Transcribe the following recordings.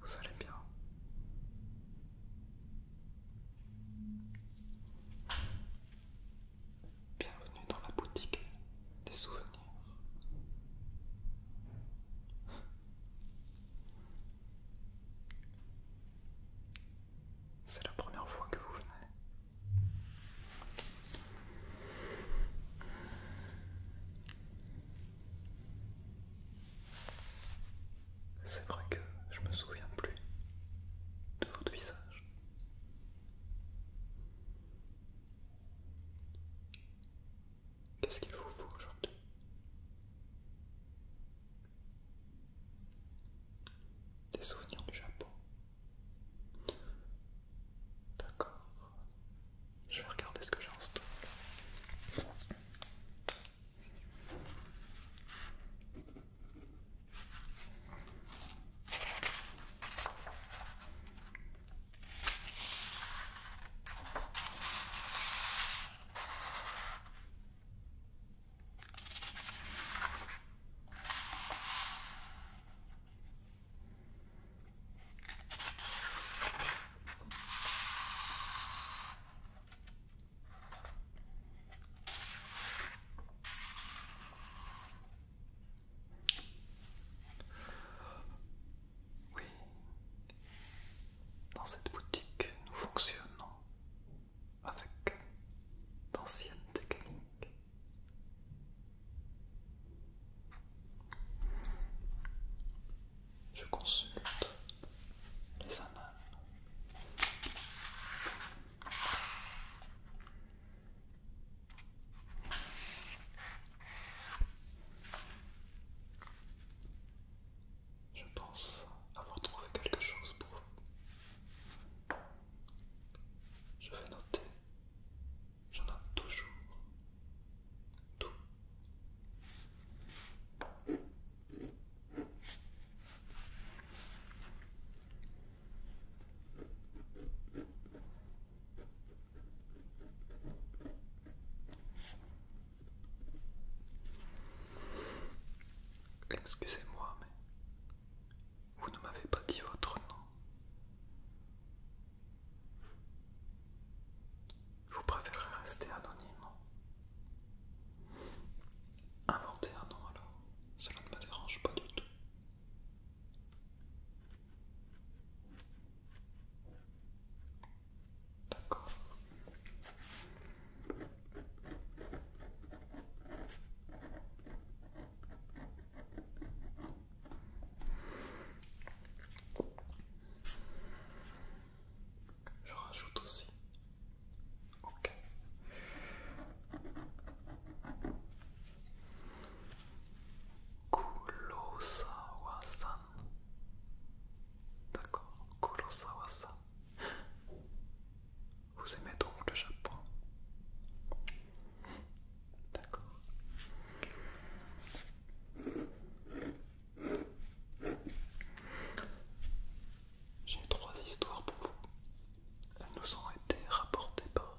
Vous allez bien Bienvenue dans la boutique des souvenirs. C'est la première fois que vous venez. C'est vrai que je me souviens plus de votre visage. Qu'est-ce qu'il vous faut aujourd'hui Des souvenirs du Japon. D'accord. Je vais regarder ce que j'ai en stock. Oui, dans cette boutique, nous fonctionnons avec d'anciennes techniques je consulte les annales. Je pense avoir trouvé quelque chose pour vous. Je vais noter J'en ai toujours tout. Excusez-moi, mais vous ne m'avez pas dit votre nom. Vous préférez rester anonyme Inventer un nom alors, cela ne me dérange pas du tout. D'accord. Je rajoute aussi. Ok. Kurosawa-san. D'accord, Kurosawa-san. Vous aimez donc le Japon D'accord. J'ai trois histoires pour vous. Elles nous ont été rapportées par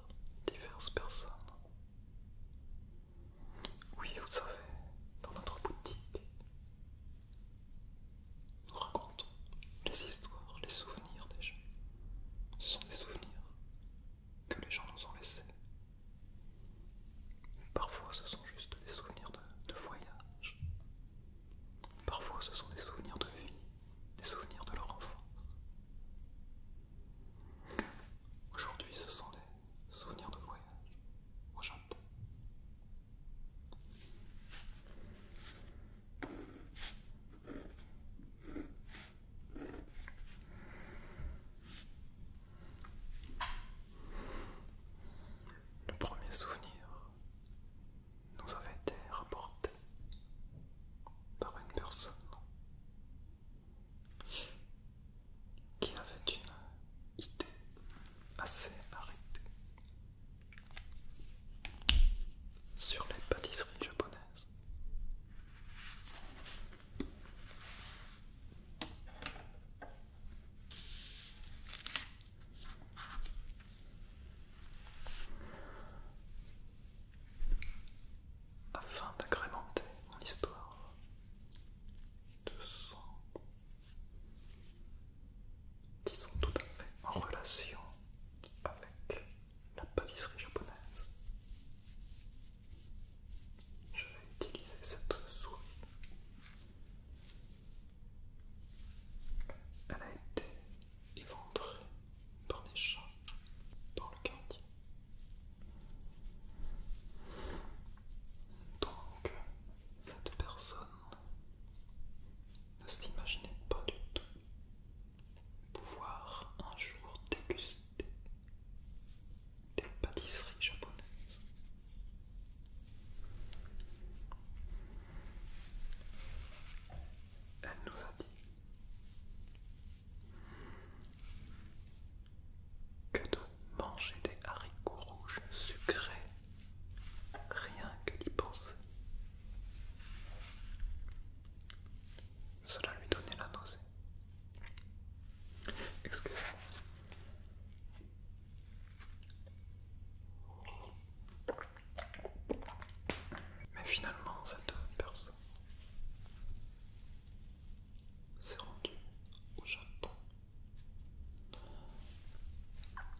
diverses personnes. Oui, vous savez, dans notre boutique, nous racontons les histoires, les souvenirs des gens. Ce sont des souvenirs que les gens nous ont laissés. Parfois ce sont juste des souvenirs de, voyage. Parfois ce sont des souvenirs de vie, des souvenirs de leur enfance. Aujourd'hui ce sont des souvenirs de voyage au Japon. Le premier souvenir nous avait été rapporté par une personne qui avait une idée assez arrêtée sur les pâtisseries japonaises. Afin d'agrémenter mon histoire de sons qui sont tout à fait en relation avec la pâtisserie japonaise. Je vais utiliser cette souris. Elle a été éventrée par des chats dans le quartier. Donc, cette personne ne s'imaginait pas du tout pouvoir un jour déguster des, pâtisseries japonaises. Elle nous a dit que de manger des haricots rouges sucrés, rien que d'y penser, cela lui donnait la nausée. Excusez-moi. Mais finalement, cette personne s'est rendue au Japon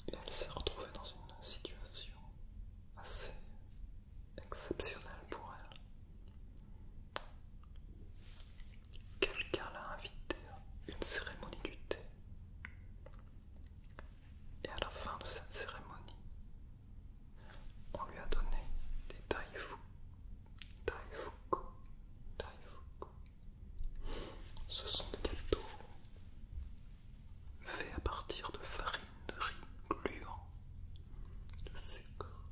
et elle s'est retrouvée dans une situation assez exceptionnelle pour elle. Quelqu'un l'a invité à une cérémonie du thé. Et à la fin de cette cérémonie, on lui a donné des taifu. Taifuku. Ce sont des gâteaux faits à partir de farine de riz gluant de sucre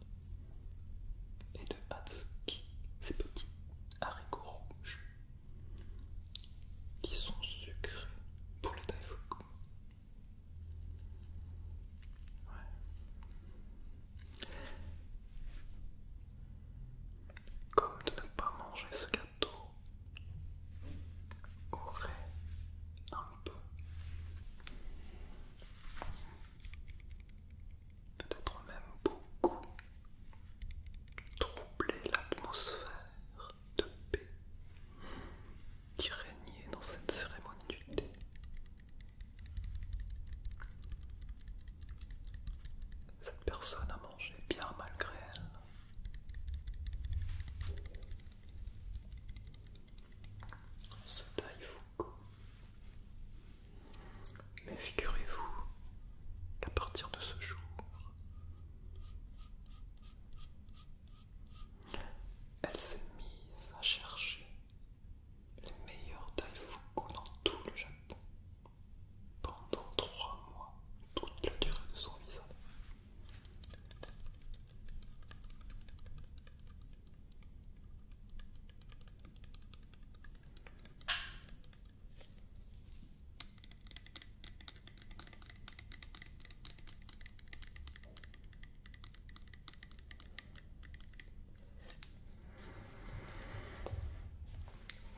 et de hatsuki, ces petits haricots rouges qui sont sucrés pour le taille Ouais. Comme de ne pas manger ce gâteau aurait un peu peut-être même beaucoup, troubler l'atmosphère de paix qui régnait dans cette cérémonie du thé. Cette personne a mangé bien malgré elle. Ce taïfou mais figurez-vous qu'à partir de ce jour, elle s'est mise à chercher les meilleurs Daifuku dans tout le Japon pendant trois mois, toute la durée de son visage.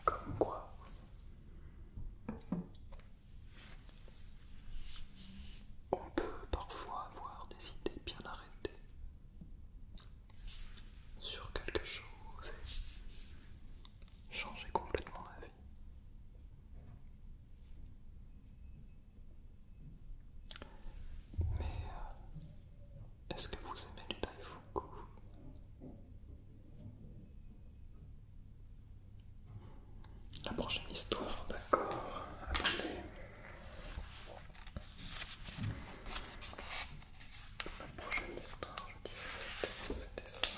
Comme quoi on peut parfois avoir des idées bien arrêtées sur quelque chose et changer complètement la vie. Mais euh, est-ce que vous aimez le Daifuku La prochaine histoire, d'accord. La prochaine histoire, je dirais, c'était ça.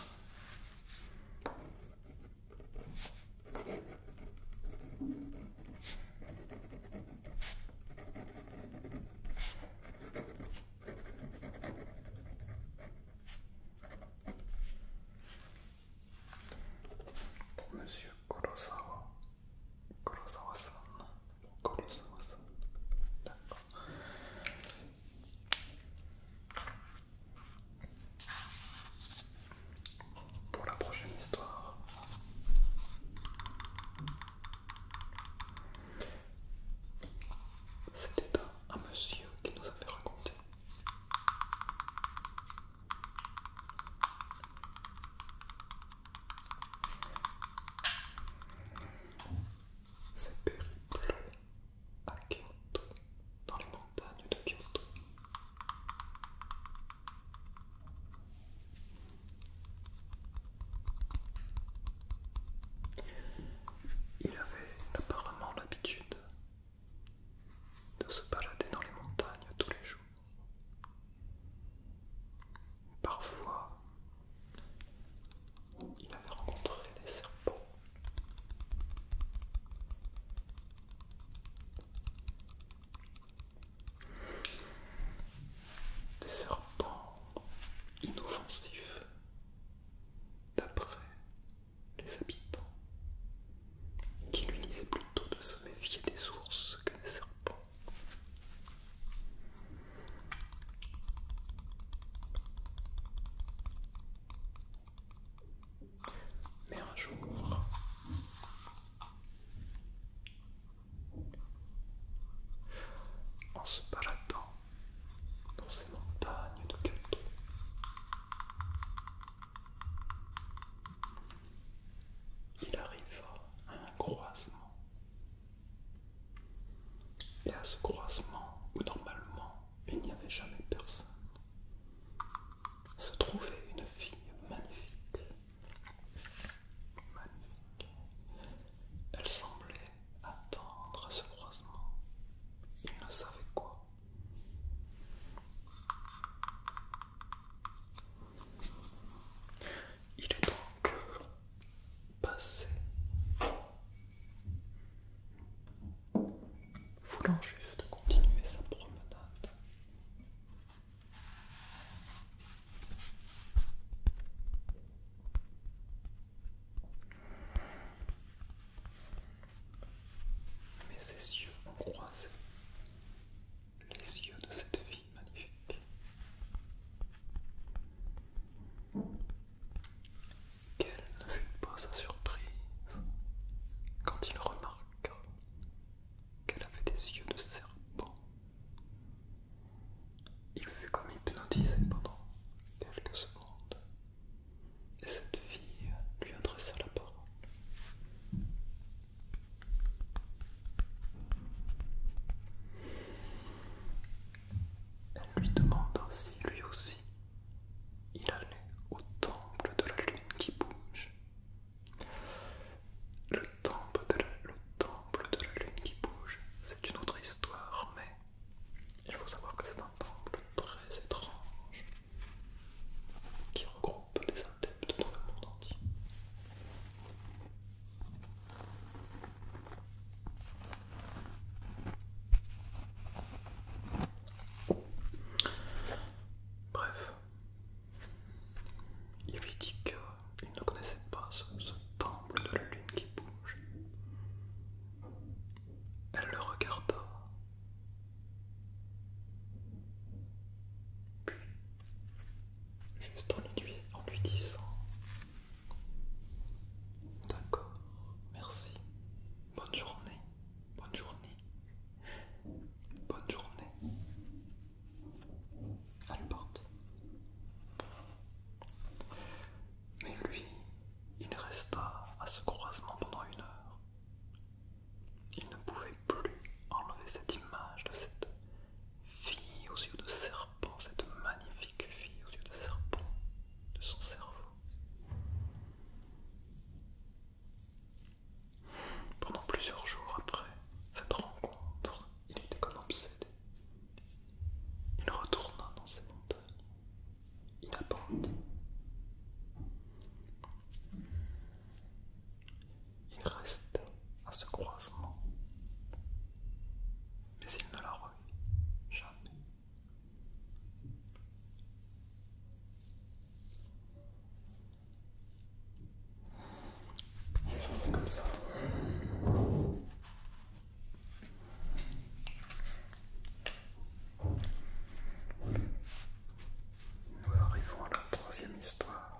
Pour Monsieur Kurosawa. Pour la prochaine histoire, c'était un monsieur qui nous avait raconté ses périples à Kyoto, dans les montagnes de Kyoto. Il avait apparemment l'habitude de se balader dans les montagnes tous les jours. Parfois, il avait rencontré des serpents. Des serpents inoffensifs d'après les habitants qui lui disaient plutôt de se méfier des ours que des serpents. Mais un jour, en se baladant dans ces montagnes de calcul il arriva à un croisement. Et à ce croisement où normalement il n'y avait jamais personne, se trouvait une fille magnifique. Magnifique. Elle semblait attendre à ce croisement. Il ne savait quoi il est donc passé voulant juste continuer sa promenade. Mais ses yeux ont croisé les yeux de cette fille magnifique. Quelle ne fut pas sa surprise quand il remarqua qu'elle avait des yeux de serpent. Il fut comme hypnotisé pendant quelques secondes, et cette fille lui adressa la parole. Elle lui demande ainsi lui aussi. Il allait au temple de la lune qui bouge. Le temple de la, lune qui bouge, c'est une autre histoire, mais il faut savoir que c'est un temple très étrange qui regroupe des Bref, il lui dit qu'il ne connaissait pas ce, temple de la lune qui bouge. Elle le regarda, Juste en lui, disant D'accord, merci, bonne journée, bonne journée, bonne journée. Elle porte. Mais lui, il resta à ce croisement pendant une heure. Il ne pouvait plus enlever cette image de cette fille aux yeux de serpent, cette magnifique fille aux yeux de serpent de son cerveau. Pendant plusieurs jours après cette rencontre, il était comme obsédé. Il retourna dans ses montagnes. Il il reste à ce croisement, mais il ne la revit jamais. Nous arrivons à la troisième histoire.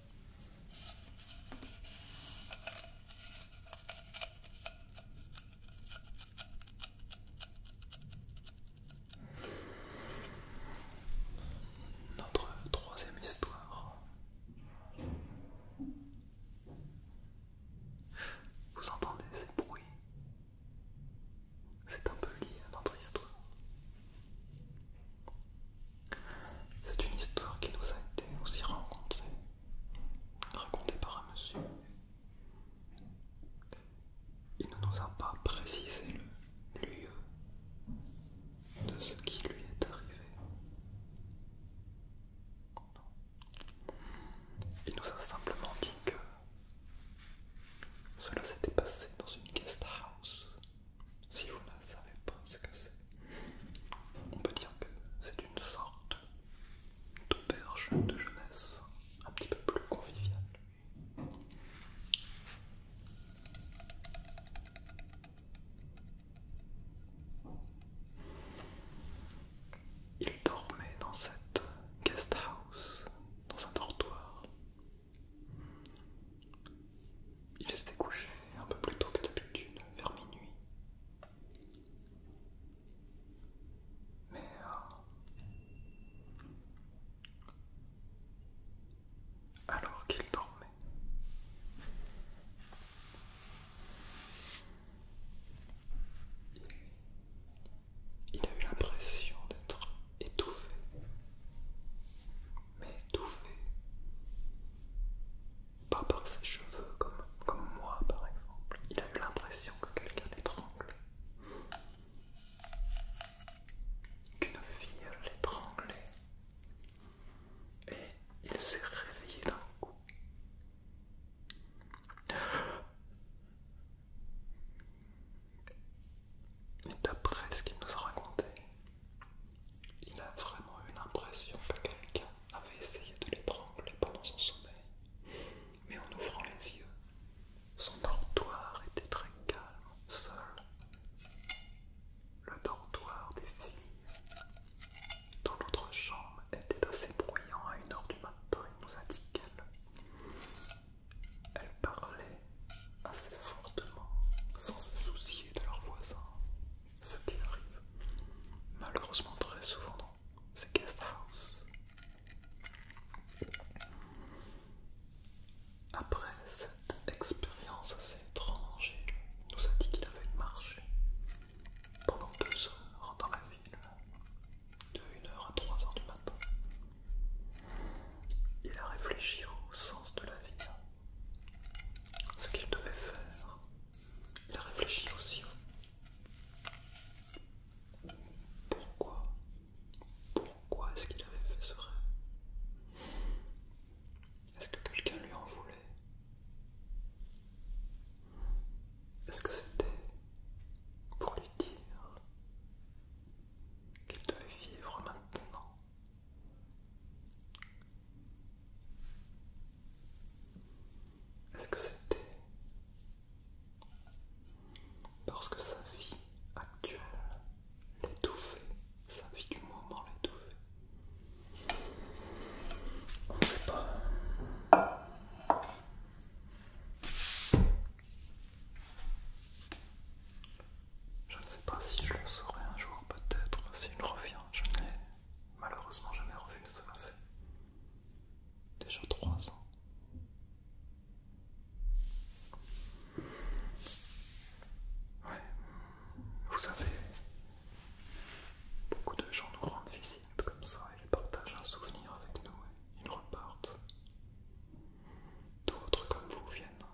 Notre troisième histoire. Vous entendez ces bruits C'est un peu lié à notre histoire. C'est une histoire qui nous a été aussi rencontrée, racontée par un monsieur. Il ne nous a pas précisé le lieu de ce qui lui est arrivé. Il nous a simplement dit que cela s'était passé dans une guest house. Si vous ne savez pas ce que c'est, on peut dire que c'est une sorte d'auberge de jeunesse un petit peu plus conviviale. Il dormait dans cette guest house, dans un dortoir. Il s'était couché un peu plus tôt que d'habitude, vers minuit, mais alors qu'il dormait, il a eu l'impression d'être étouffé, mais étouffé pas par ses cheveux comme, moi par exemple. Il a eu l'impression que quelqu'un l'étranglait. Qu'une fille l'étranglait. Et il s'est réveillé d'un coup. Mais d'après ce qu'il nous a raconté, il a vraiment eu l'impression que quelqu'un avait essayé de l'étrangler pendant son sommeil. Mais en ouvrant les yeux, son dortoir était très calme, seul. Le dortoir des filles. Dans l'autre chambre était assez bruyant à une heure du matin, il nous a dit qu'elle. parlait assez fortement, sans se soucier de leurs voisins ce qui arrive malheureusement très souvent dans ces guest Après cette expérience assez étrange, il nous a dit qu'il avait marché pendant deux heures dans la ville, de 1h à 3h du matin. Il a réfléchi au sens de la vie, ce qu'il devait faire il a réfléchi aussi. Hein. Pourquoi Pourquoi est-ce qu'il avait fait ce rêve Est-ce que quelqu'un lui en voulait Est-ce que c'était pour lui dire qu'il devait vivre maintenant est-ce que c'était parce que sa vie actuelle l'étouffait, sa vie du moment l'étouffait On ne sait pas. Je ne sais pas si je le saurai un jour, peut-être, s'il revient. Je malheureusement jamais revu ce fait. Déjà trois ans. Ouais, vous savez, beaucoup de gens nous rendent visite comme ça, ils partagent un souvenir avec nous et ils repartent. D'autres comme vous viennent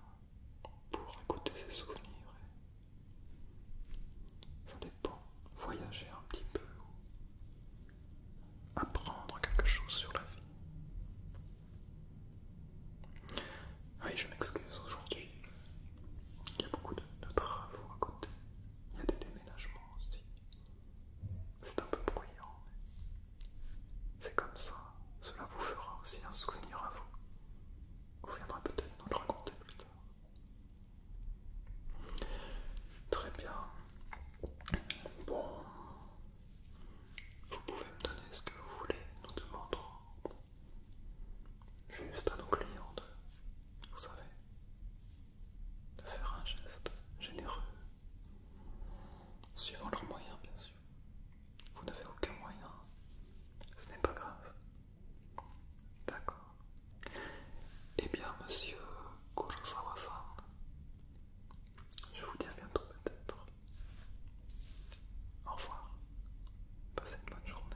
pour écouter ces souvenirs ça dépend. Voyager un petit peu ou apprendre quelque chose sur la vie. Oui, je m'excuse aujourd'hui. Il y a beaucoup de, travaux à côté. Il y a des déménagements aussi. C'est un peu bruyant, mais c'est comme ça. Cela vous fera aussi un souvenir à vous. Vous viendrez peut-être nous le raconter plus tard. Très bien. Bon. Vous pouvez me donner ce que vous voulez, nous demandons. Juste à nos clients de, vous savez, de faire un geste généreux. Suivant leurs moyens, bien sûr. Vous n'avez aucun moyen. Ce n'est pas grave. D'accord. Eh bien, monsieur kurosawa je vous dis à bientôt peut-être. Au revoir. Passez une bonne journée.